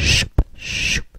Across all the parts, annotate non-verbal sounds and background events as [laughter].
シュッシュッ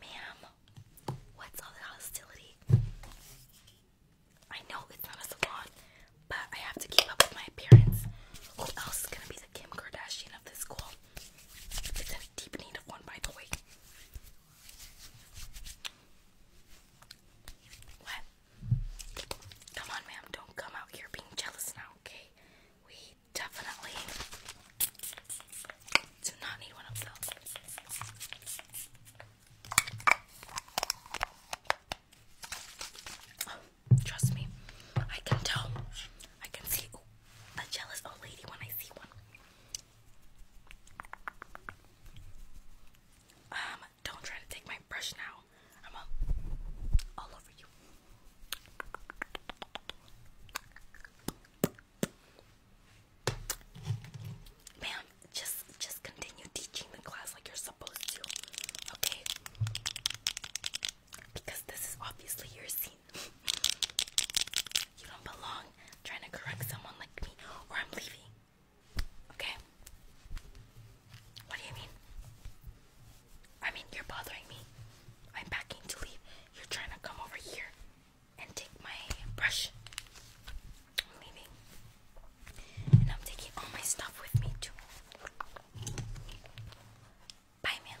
Ma'am, what's all the hostility? I know it's not a salon, but I have to keep up with my appearance. Who else is gonna be the Kim Kardashian of this school? It's in deep need of one, by the way. What? Come on, ma'am. Don't come out here being jealous now, okay? We definitely do not need one of those. Oh, trust me, I can tell. I can see ooh, a jealous old lady when I see one. Um, don't try to take my brush now. I'm all over you. Ma'am, just just continue teaching the class like you're supposed to. Okay? Because this is obviously your scene. you don't belong trying to correct someone like me or I'm leaving. Okay? What do you mean? I mean, you're bothering me. I'm packing to leave. You're trying to come over here and take my brush. I'm leaving. And I'm taking all my stuff with me too. Bye, ma'am.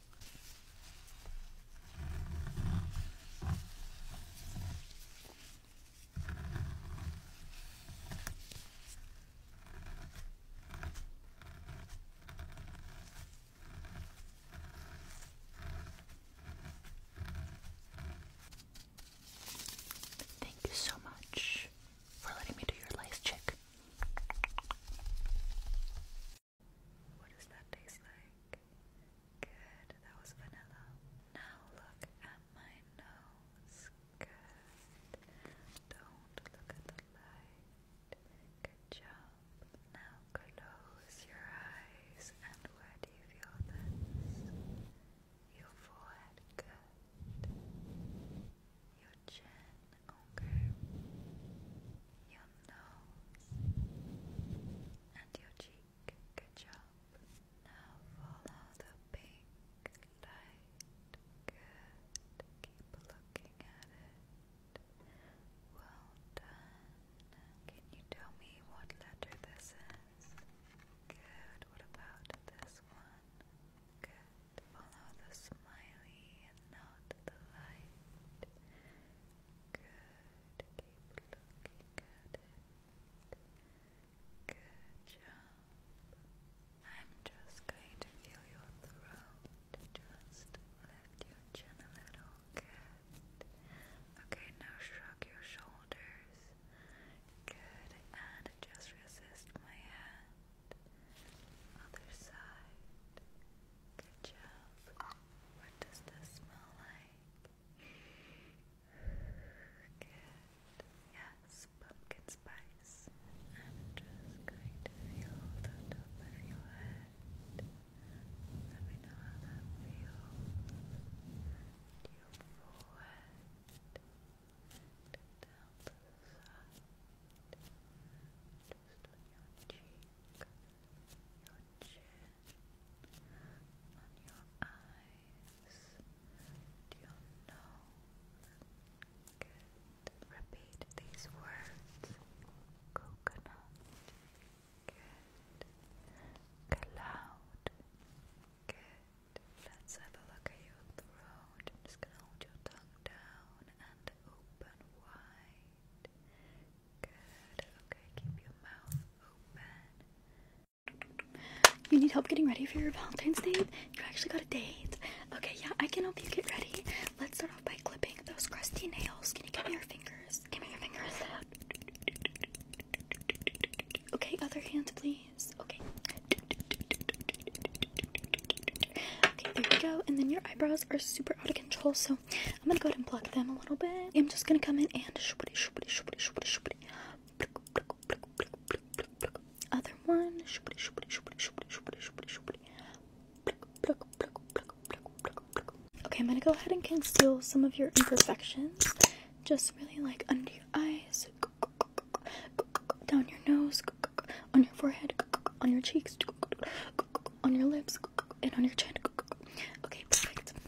Thank you so much for letting me do your lice check. What does that taste like? Good, that was vanilla. Now look at my nose. Good. Don't look at the light. Good job. Now close your eyes. And where do you feel this? Your forehead. Good. Your chin. Okay nose and your cheek. Good job. Now follow the pink light. Good. Keep looking at it. Well done. Can you tell me what letter this is? Good. What about this one? Good. Follow the smiley and not the light. Good. Good job. I'm just going to feel your throat. Just lift your chin a little. Good. Okay, now shrug your shoulders. Good. And just resist my hand. Other side. Good job. What does this smell like? Good. Yes, pumpkin spice. i just going to feel the top of your head. Let me know how that feels. To your forehead. Down the side. Just on your cheek. Your chin, on your eyes, to your nose. Good. Repeat these words. Coconut. Good. Cloud. Good. Let's have a look at your throat. I'm just gonna hold your tongue down and open wide. You need help getting ready for your Valentine's date? You actually got a date? Okay, yeah, I can help you get ready. Let's start off by clipping those crusty nails. Can you give me your fingers? Give me your fingers. Okay, other hand, please. Okay. Okay, there you go. And then your eyebrows are super out of control, so I'm gonna go ahead and block them a little bit. I'm just gonna come in and Other one. Okay, I'm gonna go ahead and conceal some of your imperfections. Just really like under your eyes, down your nose, on your forehead, on your cheeks, on your lips and on your chin. Okay, perfect. I'm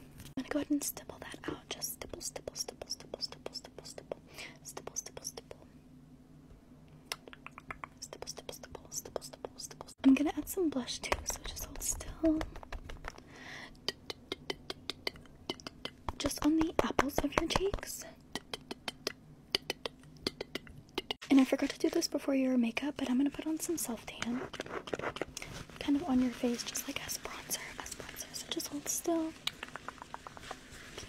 gonna go ahead and stipple that out. Just stipple, stipple, stipple, stipple, stipple, stipple, stipple, stipple, stipple, stipple, stipple, stipple, stipple, I'm gonna add some blush too, so just hold still. Just on the apples of your cheeks. And I forgot to do this before your makeup, but I'm gonna put on some self tan, kind of on your face, just like as bronzer, as bronzer. So just hold still.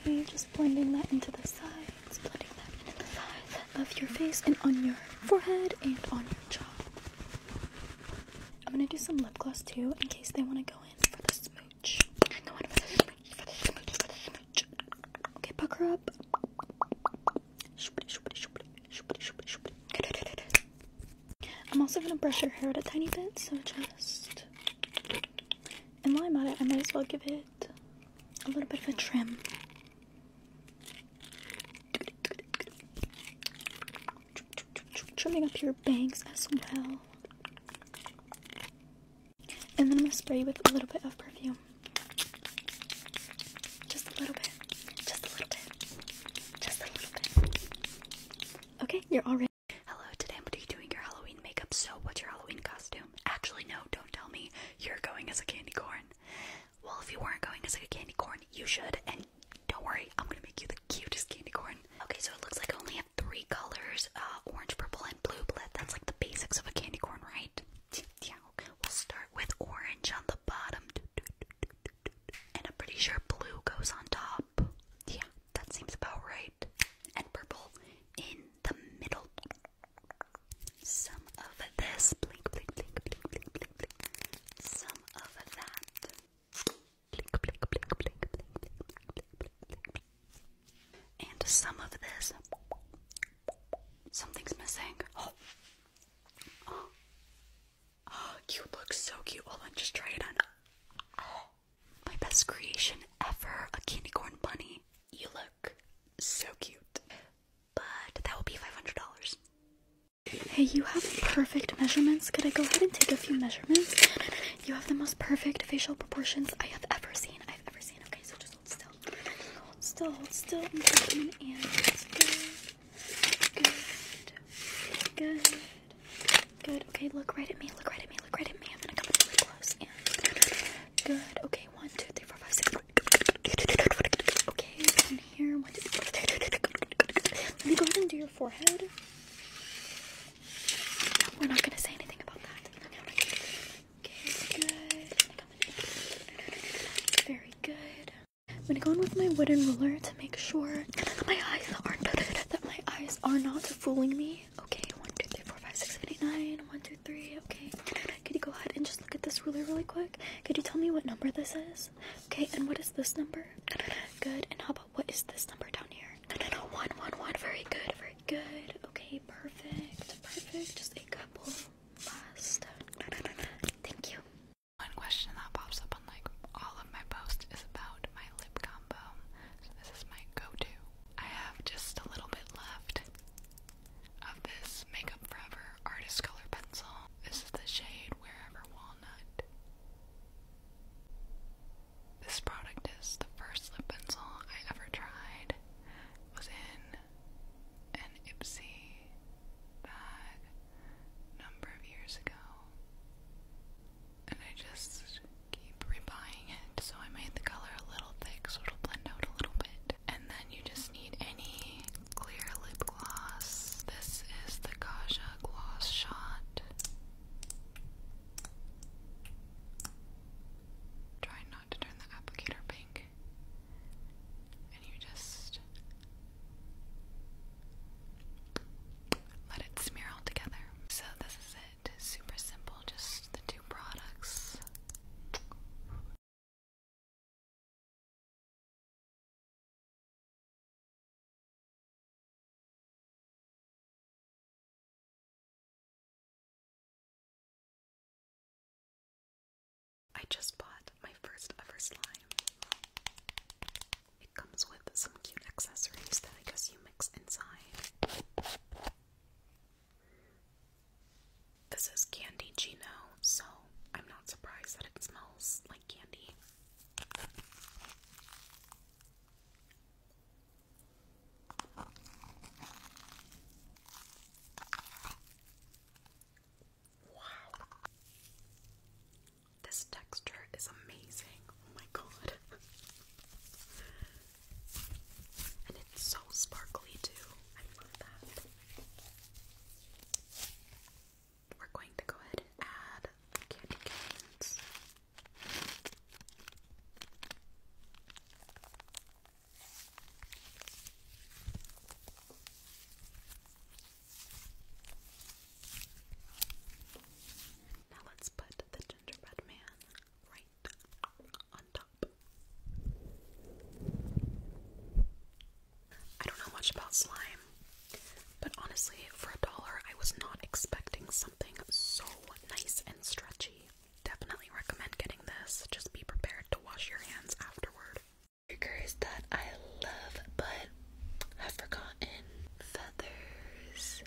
Okay, just blending that into the sides, blending that into the sides of your face and on your forehead and on your jaw. I'm gonna do some lip gloss too, in case they want to go in for the smooch. Okay, pucker up. I'm also gonna brush her hair out a tiny bit, so just. And while I'm at it, I might as well give it a little bit of a trim. Trimming up your bangs as well. And then I'm gonna spray you with a little bit of perfume. Just a little bit. Just a little bit. Just a little bit. Okay, you're all ready. Hello, today I'm going to be doing your Halloween makeup. So, what's your Halloween costume? Actually, no, don't tell me. You're going as a candy corn. Well, if you weren't going as a candy corn, you should. And don't worry, I'm gonna make you the cutest candy corn. Okay, so it looks like I only have three colors uh, orange, purple, and blue. But that's like the basics of a candy corn, right? We'll start with orange on the bottom, and I'm pretty sure blue goes on top. Yeah, that seems about right. And purple in the middle. Some of this, Some of that. And some of this. Something's missing. Oh. [gasps] oh, you look so cute. Hold on, just try it on. [gasps] my best creation ever, a candy corn bunny. You look so cute. But that will be $500. Hey, you have perfect measurements. Could I go ahead and take a few measurements? You have the most perfect facial proportions I have ever seen. I've ever seen. Okay, so just hold still. Hold still, hold still. I'm taking an and good. Good. Good. Good. Okay, look right at me. Look right at me. Look right at me. I'm gonna come really close and good. Okay, one, two, three, four, five, six. Okay, in here. One, two, three, Let me go ahead and do your forehead. No, we're not gonna say anything about that. Very good. I'm gonna go in with my wooden ruler to make sure that my eyes aren't [laughs] that my eyes are not fooling me. Okay, one, two, three, four, five, six, seven, eight, nine. One, two, three. Okay. Could you go ahead and just look at this ruler really quick? Could you tell me what number this is? Okay, and what is this number? Good. And how about what is this number down here? No, no, no. One, one, one. Very good. Very good. Okay, perfect. Perfect. Just a couple. Thank you. One question that pops up on like all of my posts is about my lip combo. this is my go-to. I have just a little bit left of this Makeup Forever Artist Color Pencil. This is the shade Wherever Walnut. This product is the first lip pencil I ever tried. was in an Ipsy bag number of years ago. And I just keep rebuying it. So I made the color a little thick so it'll blend out a little bit. And then you just need any clear lip gloss. This is the Kaja Gloss Shot. Try not to turn the applicator pink. And you just let it smear all together. So this is it. Super simple, just the two products. I just bought my first ever slime. It comes with some cute accessories that I guess you mix inside. This is Candy Gino, so I'm not surprised that it smells like candy. Wow. This texture is amazing. Oh my god. and it's so sparkly too. I love that. We're going to go ahead and add candy canes. Now let's put the gingerbread man right on top. I don't know much about slime, but honestly, for a dollar, I was not expecting something so nice and stretchy definitely recommend getting this. Just be prepared to wash your hands afterward. Triggers that I love but have forgotten. Feathers.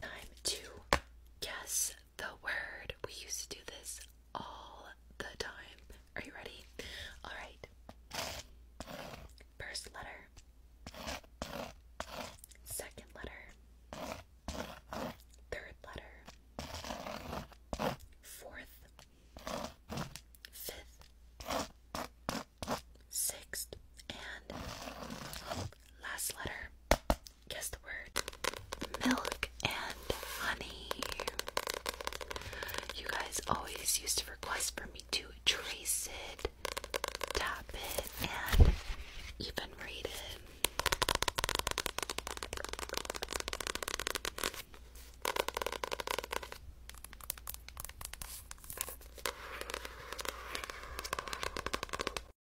Time to guess the word. We used to do this all the time. Are you ready? All right. First letter. Second letter. Third letter. Fourth. Fifth. Sixth. And last letter guess the word milk and honey. You guys always used to request for me to trace it, tap it, and even read it.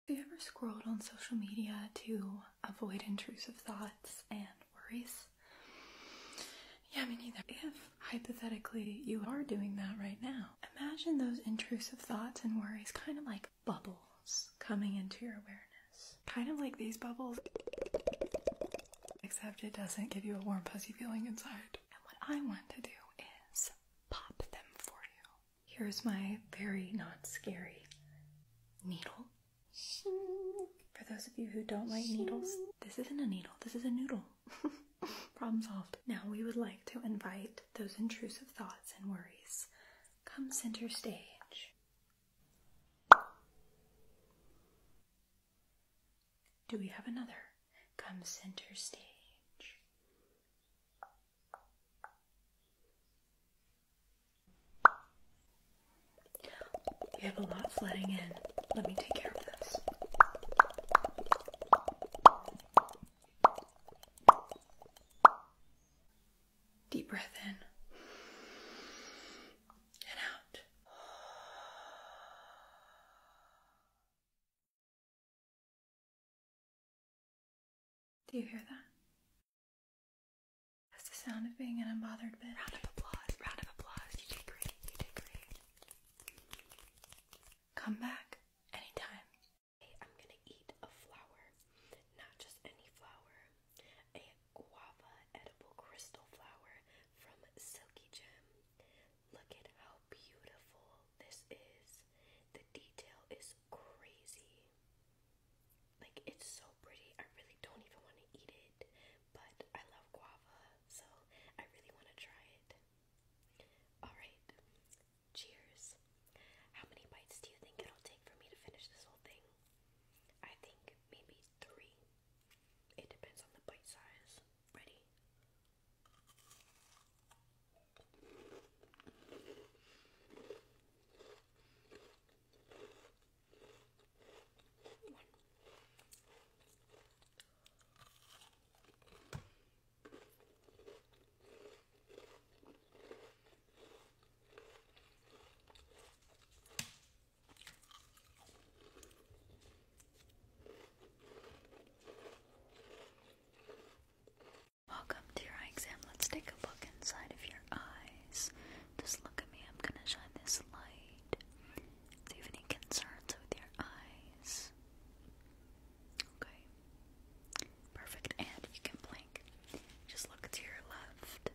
Have you ever scrolled on social media too? avoid intrusive thoughts and worries. Yeah, me neither. If hypothetically you are doing that right now, imagine those intrusive thoughts and worries kind of like bubbles coming into your awareness. Kind of like these bubbles, except it doesn't give you a warm, fuzzy feeling inside. And what I want to do is pop them for you. Here's my very not scary needle. For those of you who don't like needles, this isn't a needle, this is a noodle. [laughs] Problem solved. Now we would like to invite those intrusive thoughts and worries. Come center stage. Do we have another? Come center stage. We have a lot flooding in. Let me take care of this. Deep breath in and out. Do you hear that? That's the sound of being an unbothered bit. Round of applause, round of applause. You did great, you did great. Come back anytime. I'm gonna eat a flower. Not just any flower. A guava edible crystal flower from Silky Gem. Look at how beautiful this is. The detail is crazy. Like, it's so pretty. I really don't even want to eat it, but I love guava, so I really want to try it. Alright, cheers. How many bites do you think it'll take for me to finish this whole thing? I think maybe three. It depends on the bite size. Ready? Welcome to your eye exam. Let's take a look inside of your eye. Just look at me, I'm gonna shine this light. Do you have any concerns with your eyes? Okay. Perfect, and you can blink. Just look to your left.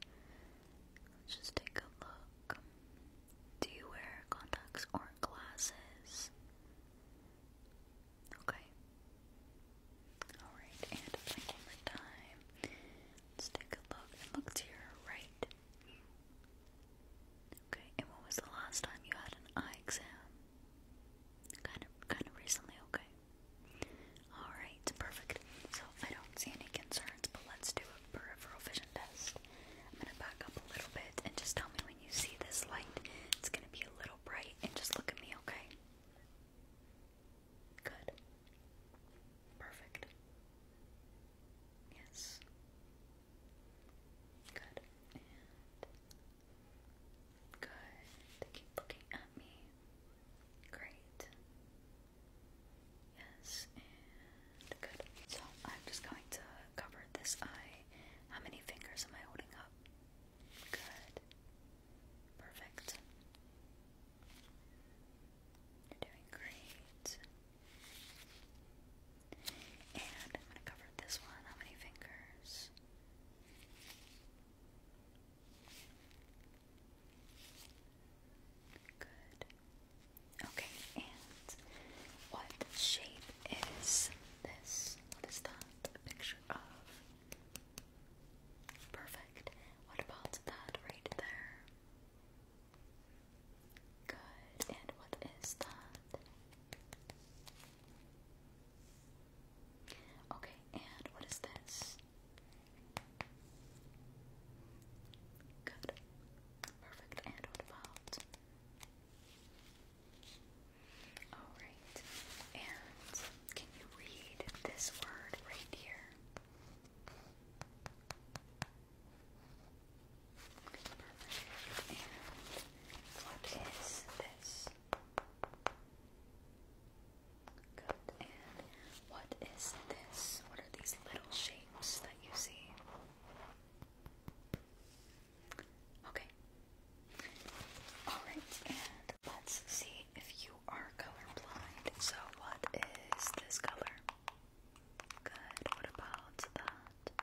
Let's just take a look. Do you wear contacts or glasses? Okay. Alright, and one more time. Let's take a look look to your right. Okay, and when was the last time you had an eye exam? Kind of kind of recently, okay. Alright, perfect. So I don't see any concerns, but let's do a peripheral vision test. I'm gonna back up a little bit and just tell me when you see this light. It's gonna be a little bright and just look at me, okay? Good. Perfect. Yes. Good. And good. Keep looking at me. Great. Yes, good. So I'm just going to cover this eye. How many fingers am I holding up? Good. Perfect. You're doing great. And I'm going to cover this one. How many fingers? Good. Okay, and what shape is this? What is that picture of? Perfect. What about that right there? Good. And what is that? Okay, and what is this? Good. Perfect. And what about? Alright. And can you read this word right here? And what is this? Good. And what is this? What are these little shapes that you see? Okay. Alright, and Let's see if you are colorblind. So, what is this color? Good. What about that?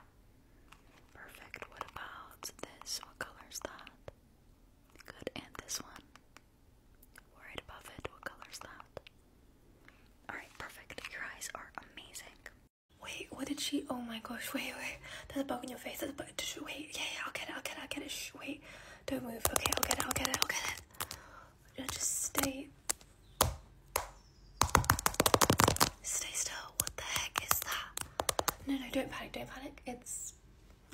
Perfect. What about this? What color is that? Good. And this one? Right above it. What color is that? Alright, perfect. Your eyes are amazing. Wait, what did she? Oh my gosh, wait, wait. There's a bug in your face. There's a bug. Wait, yeah, yeah, I'll get it, I'll get it, I'll get it. wait. Don't move. Okay, I'll get it. I'll get it. I'll get it. Just stay. Stay still. What the heck is that? No, no, don't panic. Don't panic. It's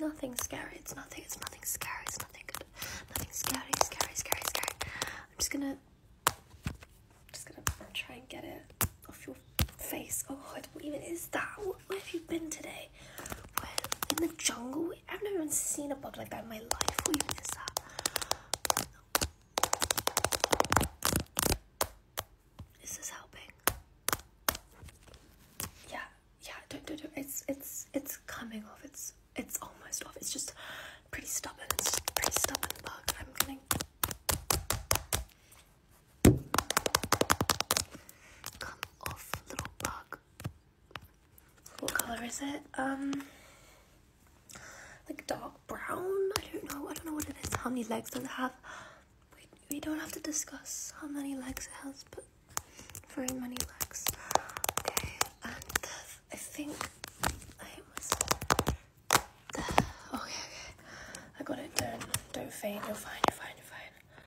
nothing scary. It's nothing. It's nothing scary. It's nothing good. Nothing scary. Scary. Scary. Scary. I'm just gonna. Just gonna try and get it off your face. Oh, what even is that? Where have you been today? Where in the jungle? I've never even seen a bug like that in my life. Who is helping? Yeah, yeah, don't, don't, don't. It's, it's, it's coming off. It's, it's almost off. It's just pretty stubborn. It's pretty stubborn bug. I'm going off, little bug. What color is it? Um, like dark brown. I don't know. I don't know what it is. How many legs does it have? We we don't have to discuss how many legs it has, but very many legs. Okay, and I think I hate myself. There. Okay, okay. I got it. Don't don't faint. You're fine. You're fine. You're fine.